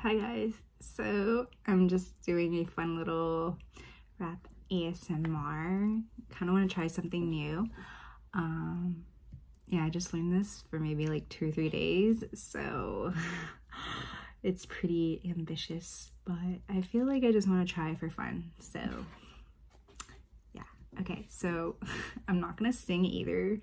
Hi guys, so I'm just doing a fun little rap ASMR. Kind of want to try something new. Um, yeah, I just learned this for maybe like two or three days, so it's pretty ambitious, but I feel like I just want to try for fun, so yeah. Okay, so I'm not going to sing either.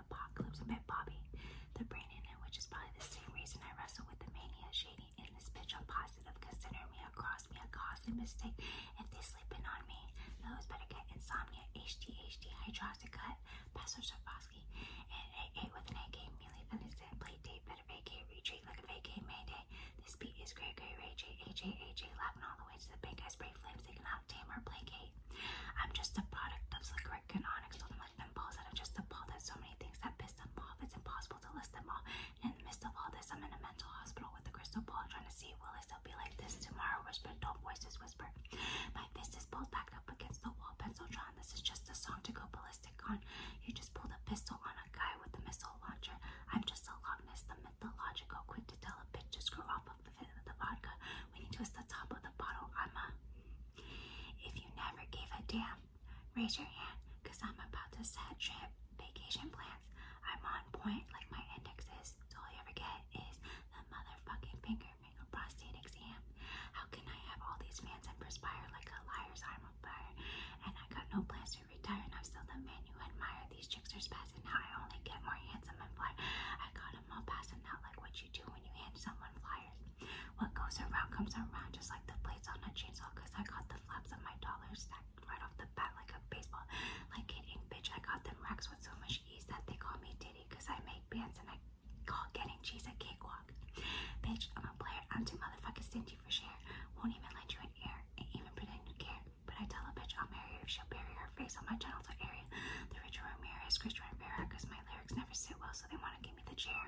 apocalypse met Bobby, the brain in it, which is probably the same reason I wrestle with the mania shading in this bitch. I'm positive, consider me a cross, me a costly mistake if they sleeping on me. Those better get insomnia, HDHD, hydroxycut, Pastor Shavosky, and AA with an AK, merely finished it, play date, better vacate, retreat like a mayday. This beat is great, great, Ray J, laughing all the way to the bank. I spray flames, they cannot tame or placate. I'm just a product of slick and onyx, much impulse that I've just appalled at so many things that pissed them off. It's impossible to list them all. And in the midst of all this, I'm in a mental hospital with a crystal ball trying to see will I still be like this tomorrow? Whispered dull voices whisper. My fist is pulled back up against the wall, pencil drawn. This is just a song to go ballistic on. You just pulled a pistol on a guy with a missile launcher. I'm just a logness, the mythological, quick to tell a bitch to screw off a with the vodka when you twist the top of the bottle. I'm If you never gave a damn, raise your hand I'm about to set trip vacation plans. I'm on point like my index is. all you ever get is the motherfucking finger finger prostate exam. How can I have all these fans and perspire like a liar's arm on fire? And I got no plans to retire and I'm still the man men who admire these tricksters' past, and now I only get more handsome and fly. I got them all past, and not like what you do when you hand someone flyers. What goes around comes around, just like the blades on a chainsaw, because I got the flaps of my dollars stacked right off the bat like a baseball. Like an ink bitch, I got them racks with so much ease that they call me Diddy, because I make bands and I call getting cheese a cakewalk. Bitch, I'm a player. I'm too motherfucking stingy for share. Won't even let you in air. Ain't even pretend to care. But I tell a bitch I'll marry her if she'll bury her face on my channel to area. The rich Richard Ramirez, Christian Rivera, because my lyrics never sit well, so they want to give me the chair.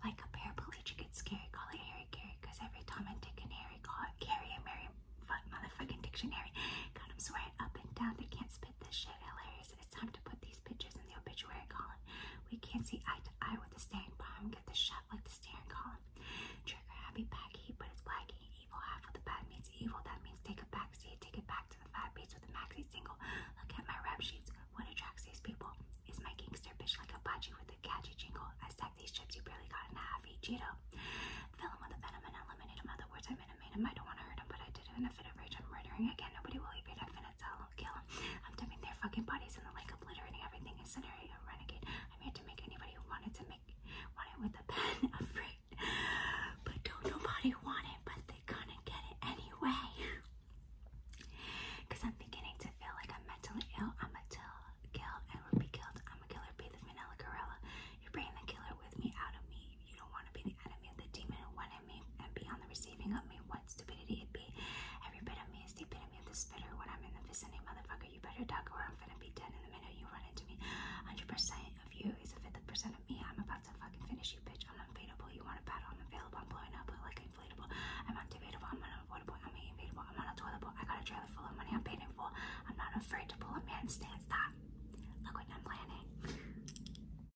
Like a paraplegic, it's scary. Call it Harry Carey, because every Tom and Dick and Harry call it Carrie and Mary fuck motherfucking dictionary. Got them swearing up and down. They can't spit this shit. Hilarious. It's time to put these pictures in the obituary column. We can't see eye to eye with the stained bomb. Get the shot like the steering column. Trigger happy baggy, but it's wacky. Evil half with the bad means evil. That means take a back seat, take it back to the fat beats with the maxi single. Look at my rap sheets. What attracts these people is my gangster bitch like a budgie with a catchy jingle. I stack these chips, you barely got in half each Cheeto. Fill them with the venom and eliminate them. Other words, I mean, I made don't want to hurt him, but I did it in a fit of rage. I'm murdering again. Nobody will leave it. i a tell will kill him. I'm dumping their fucking bodies in the lake, obliterating everything, incinerating a renegade. I'm here to make anybody who wanted to make want it with a pen afraid. But don't nobody want it, but they're gonna get it anyway. Cause I'm beginning to feel like I'm mentally ill. I'm a till kill and will be killed. I'm a killer bee, the vanilla gorilla. You're bringing the killer with me out of me. You don't want to be the enemy of the demon who wanted at me and be on the receiving of me, what stupidity it be. Every bit of me is the epitome of the spitter. When I'm in the vicinity, motherfucker, you better duck or I'm finna be dead in the minute you run into me. 100% of you is a fifth percent of me. I'm about to fucking finish you, bitch. I'm unfadable. You want a battle? I'm available. I'm blowing up like inflatable. I'm undebatable. I'm unavoidable. I'm invadable. I'm unavoidable. I got a trailer full of money. I'm paid in full. I'm not afraid to pull a man's stance. Stop. Look what I'm planning.